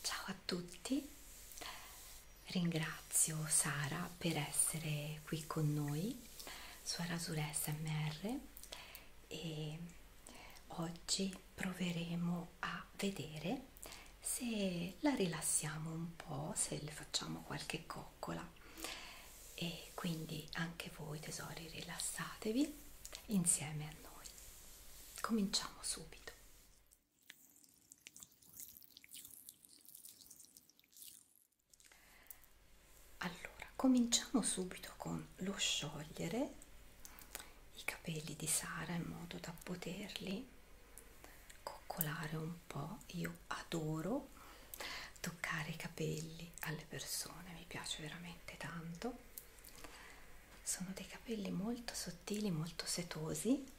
Ciao a tutti, ringrazio Sara per essere qui con noi su Arasura SMR e oggi proveremo a vedere se la rilassiamo un po', se le facciamo qualche coccola e quindi anche voi tesori rilassatevi insieme a noi. Cominciamo subito. Allora, cominciamo subito con lo sciogliere i capelli di Sara in modo da poterli coccolare un po'. Io adoro toccare i capelli alle persone, mi piace veramente tanto sono dei capelli molto sottili molto setosi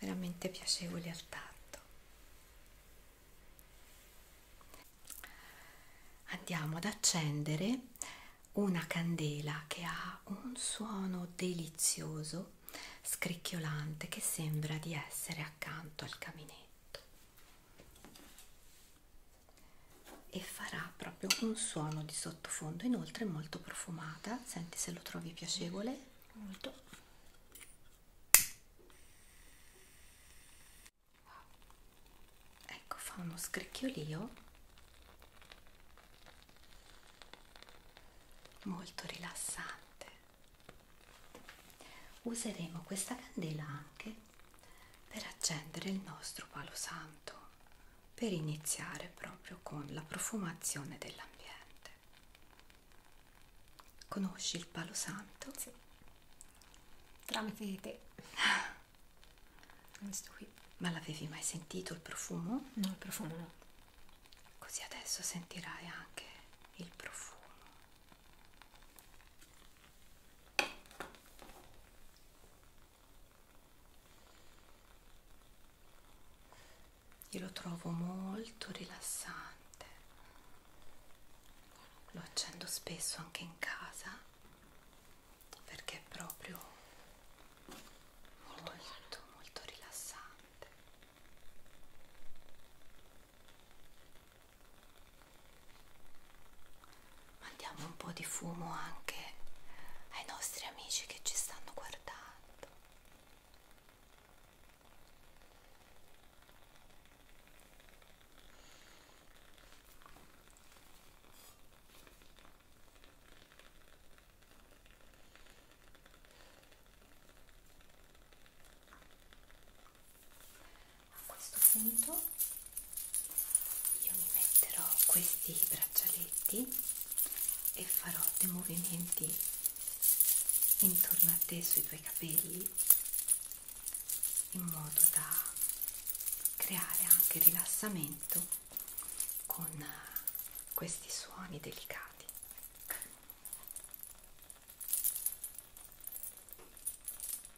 veramente piacevoli al tatto andiamo ad accendere una candela che ha un suono delizioso scricchiolante che sembra di essere accanto al caminetto e farà proprio un suono di sottofondo inoltre è molto profumata senti se lo trovi piacevole molto wow. ecco fa uno scricchiolio molto rilassante useremo questa candela anche per accendere il nostro palo santo per iniziare proprio con la profumazione dell'ambiente. Conosci il palo santo? Sì. Tramite te. Questo qui. Ma l'avevi mai sentito il profumo? No, il profumo no. Così adesso sentirai anche il profumo. Io lo trovo molto rilassante, lo accendo spesso anche in casa perché è proprio molto molto molto rilassante mandiamo un po' di fumo anche ai nostri amici che ci stanno guardando a questo punto io mi metterò questi braccialetti e farò dei movimenti intorno a te sui tuoi capelli in modo da creare anche rilassamento con questi suoni delicati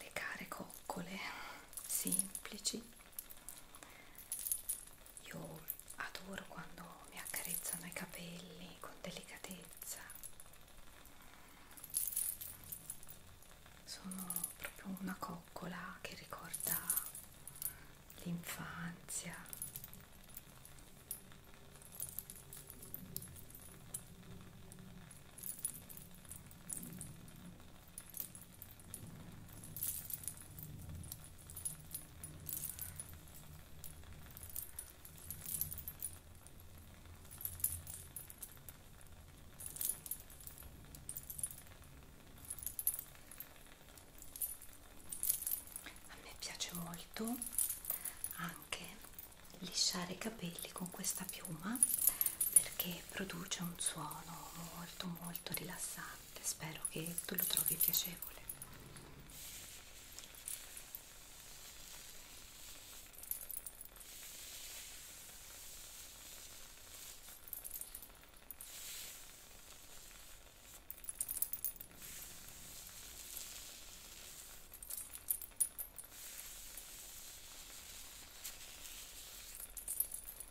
le care coccole semplici io adoro quando mi accarezzano i capelli con delicatezza. Sono proprio una coccola che ricorda l'infanzia. A me piace molto anche lisciare i capelli con questa piuma perché produce un suono molto molto rilassante interessante, spero che tu lo trovi piacevole.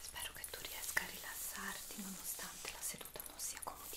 Spero che tu riesca a rilassarti nonostante la seduta non sia comodissima.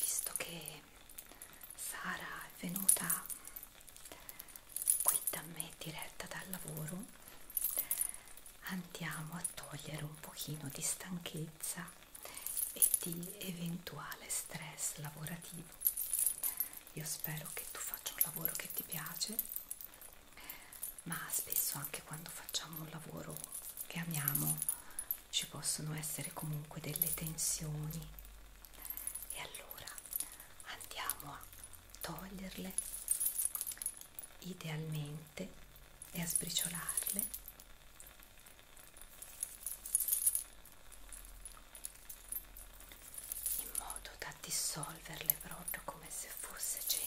Visto che Sara è venuta qui da me diretta dal lavoro, andiamo a togliere un pochino di stanchezza e di eventuale stress lavorativo. Io spero che tu faccia un lavoro che ti piace, ma spesso anche quando facciamo un lavoro che amiamo ci possono essere comunque delle tensioni e allora andiamo a toglierle idealmente e a sbriciolarle in modo da dissolverle proprio come se fosse cenere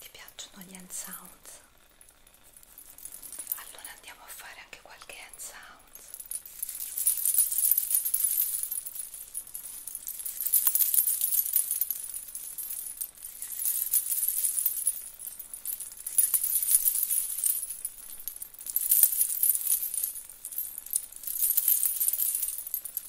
Ti piacciono gli hand sounds? Allora andiamo a fare anche qualche hand sounds.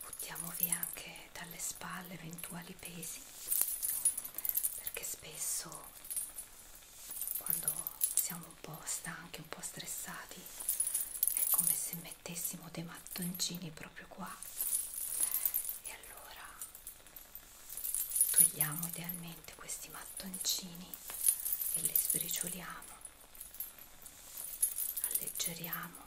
buttiamo via anche dalle spalle eventuali pesi perché spesso quando siamo un po' stanchi, un po' stressati è come se mettessimo dei mattoncini proprio qua e allora togliamo idealmente questi mattoncini e li sbricioliamo alleggeriamo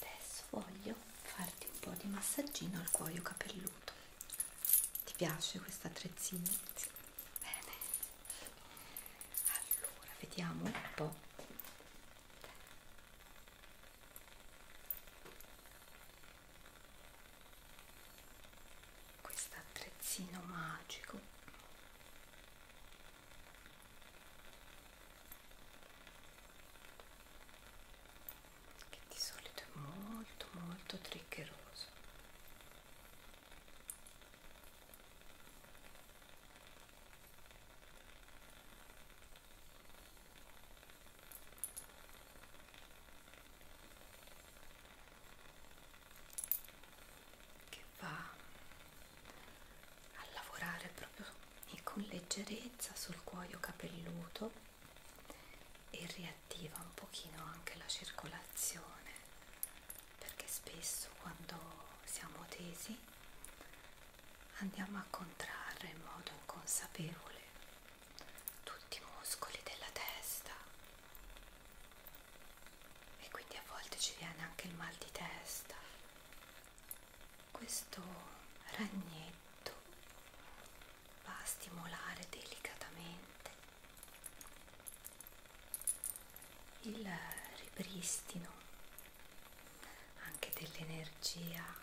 Adesso voglio farti un po' di massaggino al cuoio capelluto. Ti piace questa attrezzino? Sì. Bene. Allora, vediamo un po'. Questo attrezzino magico che di solito è molto molto triggeroso che va a lavorare proprio e con leggerezza sul cuoio capelluto e riattiva un pochino anche la circolazione perché spesso quando siamo tesi andiamo a contrarre in modo inconsapevole tutti i muscoli della testa e quindi a volte ci viene anche il mal di testa questo ragnetto va a stimolare delicatamente il ripristino anche dell'energia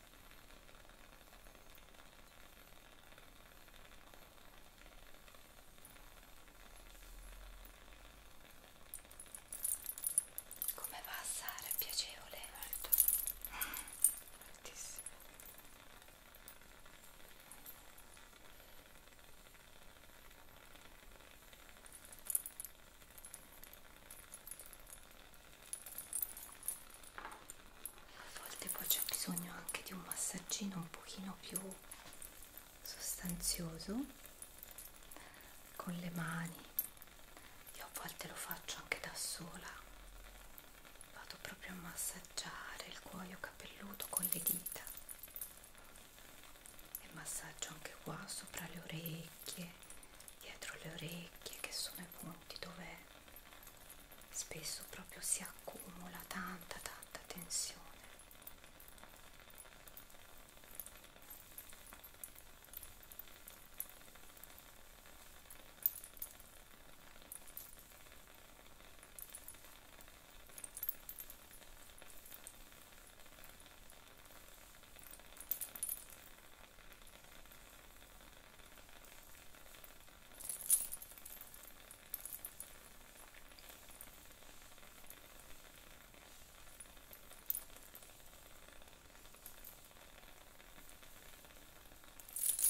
Come va a Sara? È piacevole? Alto. Altissimo a volte poi c'è bisogno anche di un massaggino un pochino più sostanzioso con le mani io a volte lo faccio anche da sola vado proprio a massaggiare il cuoio capelluto con le dita e massaggio anche qua sopra le orecchie dietro le orecchie che sono i punti dove spesso proprio si accumula tanta tanta tensione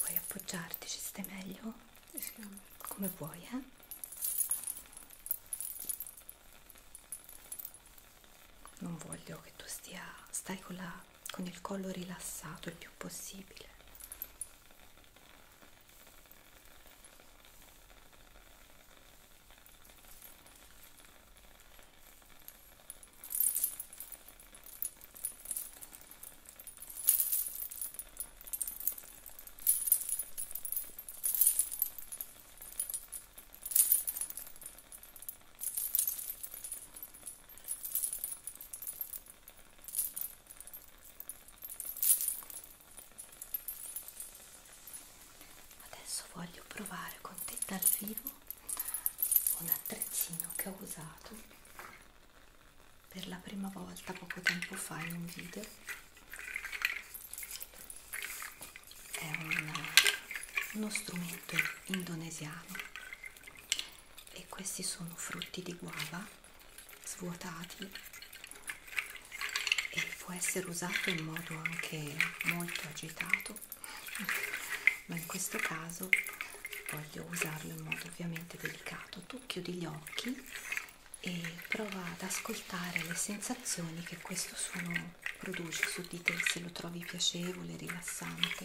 Vuoi appoggiarti? Ci stai meglio? Sì. Come vuoi, eh? Non voglio che tu stia... stai con la con il collo rilassato il più possibile Adesso voglio provare con te dal vivo un attrezzino che ho usato per la prima volta poco tempo fa in un video. È un, uno strumento indonesiano e questi sono frutti di guava svuotati e può essere usato in modo anche molto agitato ma in questo caso voglio usarlo in modo ovviamente delicato tu chiudi gli occhi e prova ad ascoltare le sensazioni che questo suono produce su di te se lo trovi piacevole rilassante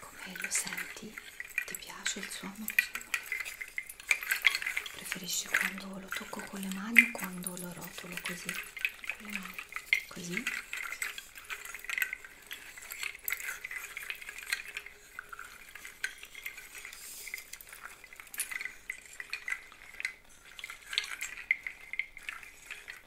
Come lo senti? Ti piace il suono? Preferisci quando lo tocco con le mani o quando lo rotolo così? Con le mani? Così?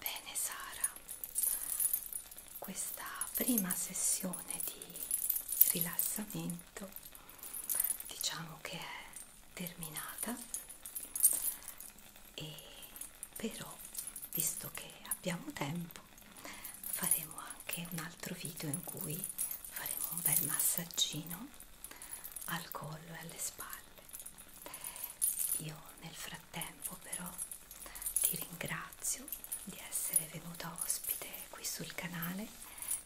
Bene Sara, questa prima sessione di rilassamento diciamo che è terminata e però visto che abbiamo tempo faremo anche un altro video in cui faremo un bel massaggino al collo e alle spalle io nel frattempo però ti ringrazio di essere venuta ospite qui sul canale,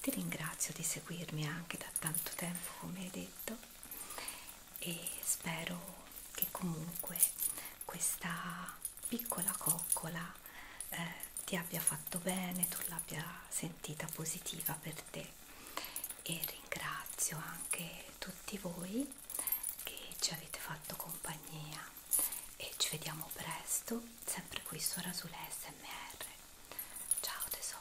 ti ringrazio di seguirmi anche da tanto tempo come hai detto e spero che comunque questa piccola coccola eh, ti abbia fatto bene, tu l'abbia sentita positiva per te e ringrazio anche tutti voi che ci avete fatto compagnia e ci vediamo presto sempre qui su Rasule SMR. Ciao tesori!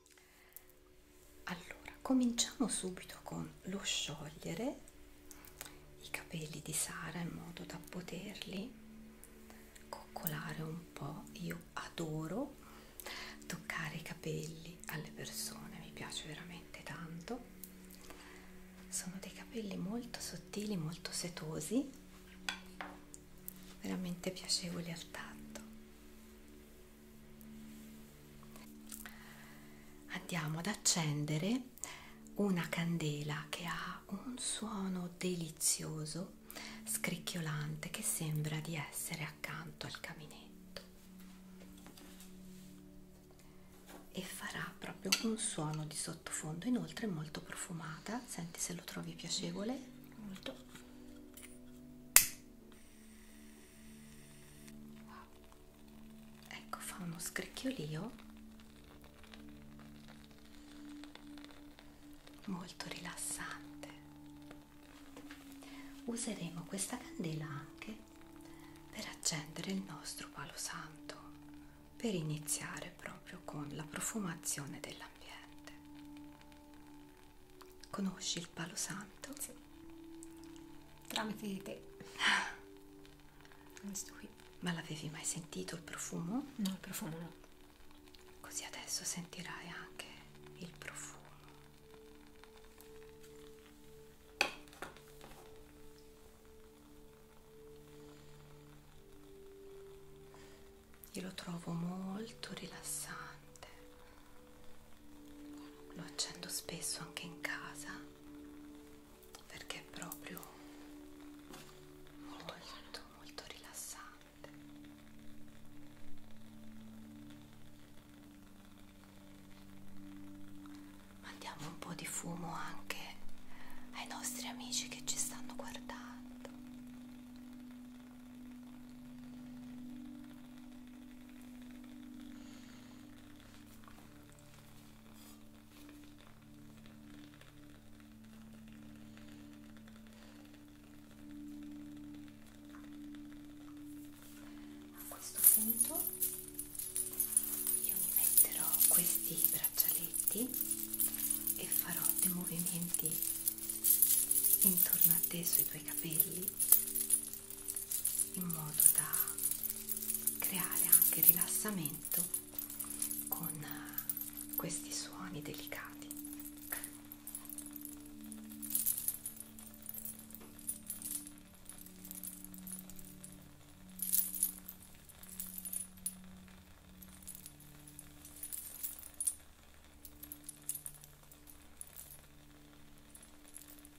allora cominciamo subito con lo sciogliere i capelli di Sara in modo da poterli coccolare un po' io adoro toccare i capelli alle persone mi piace veramente tanto sono dei capelli molto sottili molto setosi veramente piacevoli al tatto Andiamo ad accendere una candela che ha un suono delizioso, scricchiolante, che sembra di essere accanto al caminetto e farà proprio un suono di sottofondo, inoltre è molto profumata, senti se lo trovi piacevole, molto ecco fa uno scricchiolio oh. molto rilassante useremo questa candela anche per accendere il nostro palo santo per iniziare proprio con la profumazione dell'ambiente Conosci il palo santo? Sì. Tramite di te. Ah. Questo qui. Ma l'avevi mai sentito il profumo? No, il profumo no. Così adesso sentirai anche il profumo. Io lo trovo molto rilassante lo accendo spesso anche in casa perché è proprio molto molto, molto rilassante mandiamo un po' di fumo anche ai nostri amici che ci stanno guardando a questo punto io mi metterò questi braccialetti e farò dei movimenti intorno a te sui tuoi capelli in modo da creare anche rilassamento con eh, questi suoni delicati.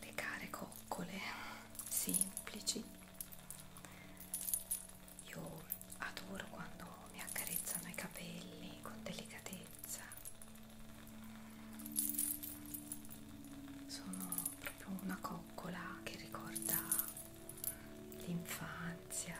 le care coccole semplici io adoro quando mi accarezzano i capelli con delicatezza sono proprio una coccola che ricorda l'infanzia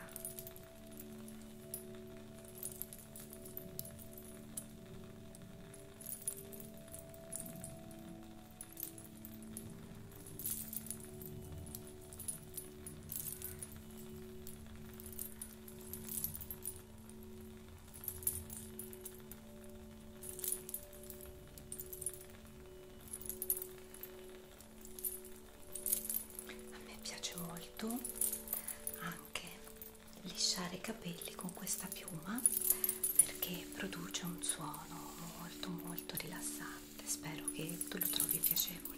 a me piace molto anche lisciare i capelli con questa piuma perché produce un suono molto molto rilassante spero che tu lo trovi piacevole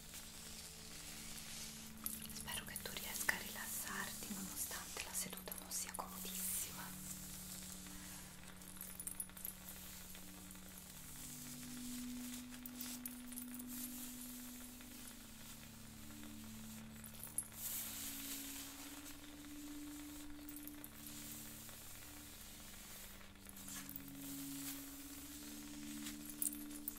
Spero che tu riesca a rilassarti nonostante la seduta non sia comodissima.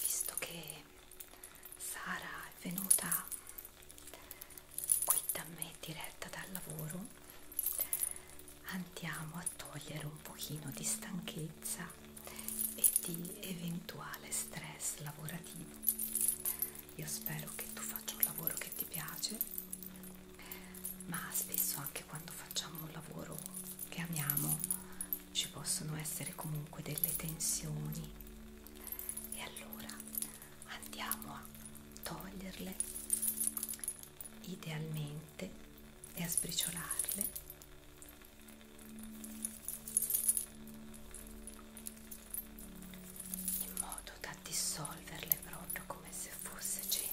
visto che Sara è venuta qui da me diretta dal lavoro andiamo a togliere un pochino di stanchezza e di eventuale stress lavorativo io spero che tu faccia un lavoro che ti piace ma spesso anche quando facciamo un lavoro che amiamo ci possono essere comunque delle tensioni e allora andiamo a toglierle idealmente e a sbriciolarle in modo da dissolverle proprio come se fosse cenere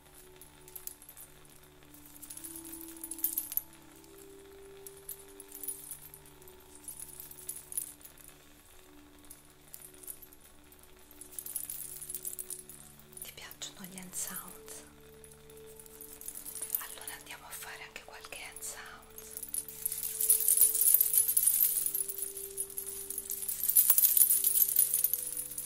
Ti piacciono gli hand sounds? Allora andiamo a fare anche qualche hand sound.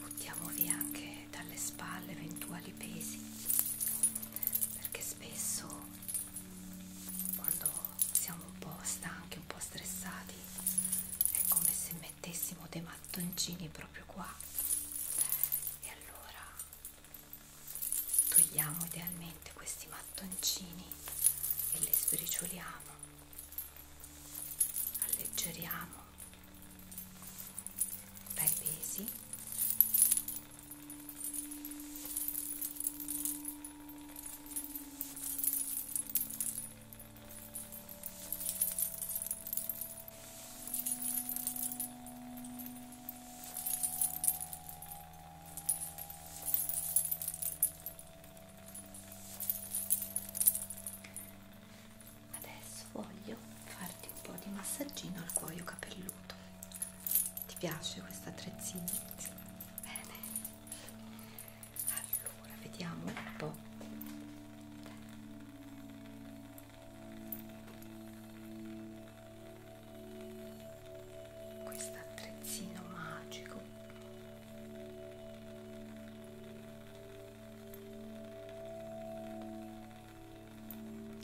Buttiamo via anche dalle spalle eventuali pesi, perché spesso quando siamo un po' stanchi, un po' stressati, è come se mettessimo dei mattoncini proprio qua e allora togliamo idealmente questi mattoncini e li sbricioliamo alleggeriamo dai pesi Adesso voglio farti un po' di massaggino al cuoio capelluto. Ti piace questo attrezzino? Bene. Allora, vediamo un po' questo attrezzino magico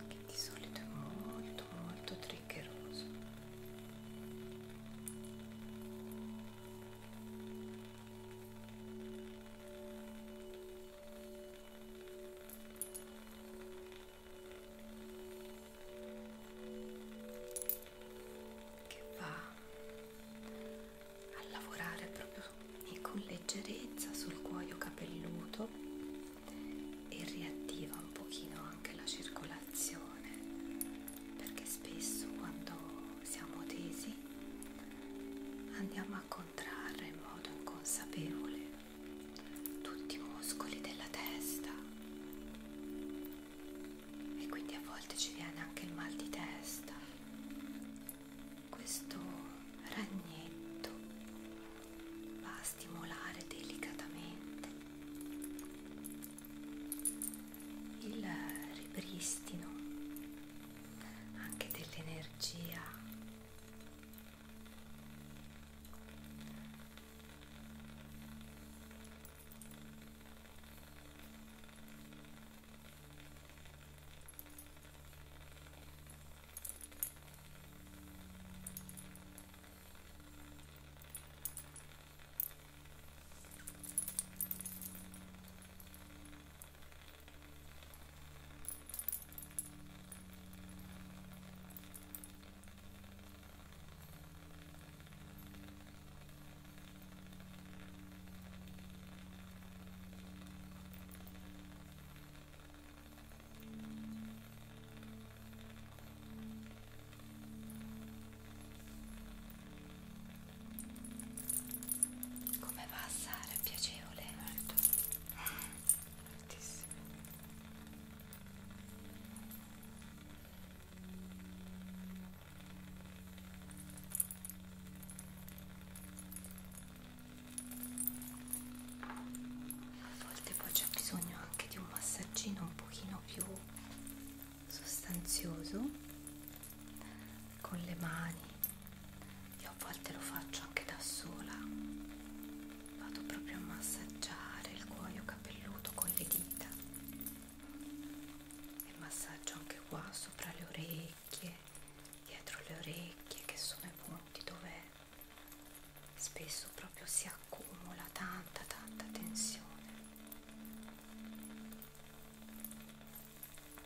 che di solito è molto molto triggeroso che va a lavorare proprio con leggerezza sul cuoio capelluto e riattiva un pochino anche la circolazione perché spesso quando siamo tesi andiamo a contrarre in modo inconsapevole tutti i muscoli della testa e quindi a volte ci viene anche il mal di testa questo ragnetto va a stimolare delicatamente il ripristino anche dell'energia come va Sara? Piacere? piacevole molto moltissimo a volte poi c'è bisogno anche di un massaggino un pochino più sostanzioso con le mani, io a volte lo faccio anche da sola, vado proprio a massaggiare il cuoio capelluto con le dita e massaggio anche qua sopra le orecchie, dietro le orecchie che sono i punti dove spesso proprio si accumula tanta tanta tensione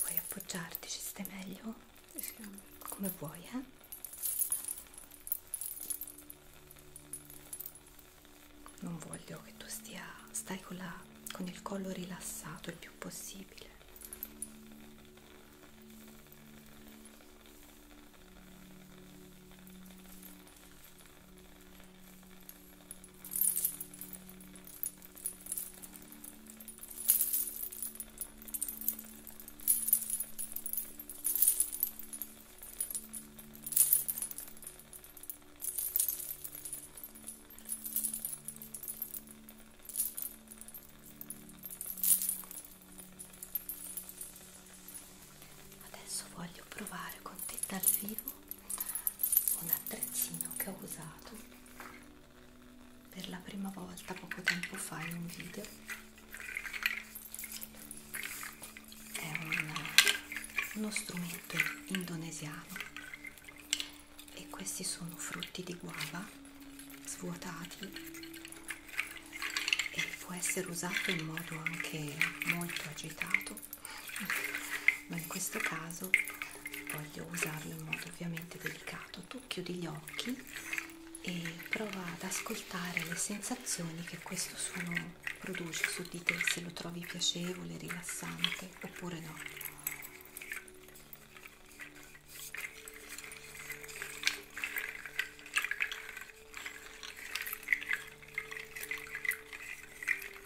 Vuoi appoggiarti? Ci stai meglio? Sì. Come vuoi, eh? Non voglio che tu stia. stai con, la, con il collo rilassato il più possibile. Adesso voglio provare con te dal vivo un attrezzino che ho usato per la prima volta poco tempo fa in un video è un, uno strumento indonesiano e questi sono frutti di guava svuotati e può essere usato in modo anche molto agitato ma in questo caso voglio usarlo in modo ovviamente delicato tu chiudi gli occhi e prova ad ascoltare le sensazioni che questo suono produce su di te se lo trovi piacevole rilassante oppure no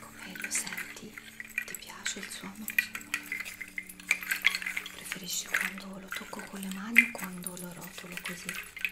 Come lo senti? Ti piace il suono? Preferisci quando lo tocco con le mani o quando lo rotolo così?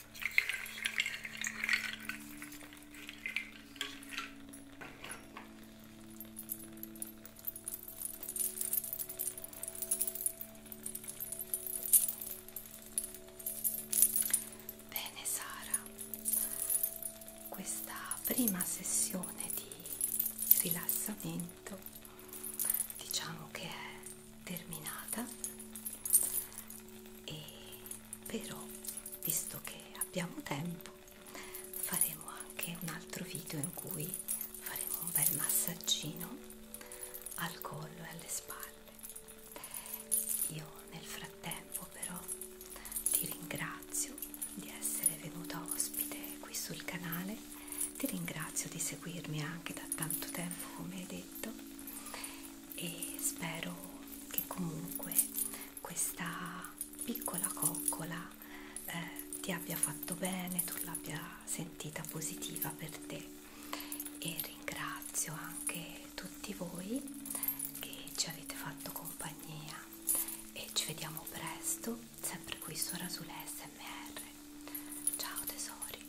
Bene Sara, questa prima sessione di rilassamento diciamo che è terminata e però visto che abbiamo tempo faremo anche un altro video in cui faremo un bel massaggino al collo e alle spalle io nel frattempo però ti ringrazio di essere venuta ospite qui sul canale ti ringrazio di seguirmi anche da tanto tempo come hai detto e spero che comunque questa piccola coccola eh, ti abbia fatto bene, tu l'abbia sentita positiva per te e ringrazio anche tutti voi che ci avete fatto compagnia e ci vediamo presto sempre qui su Rasulè SMR ciao tesori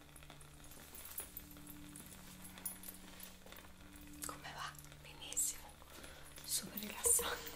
Come va? Benissimo, super rilassante.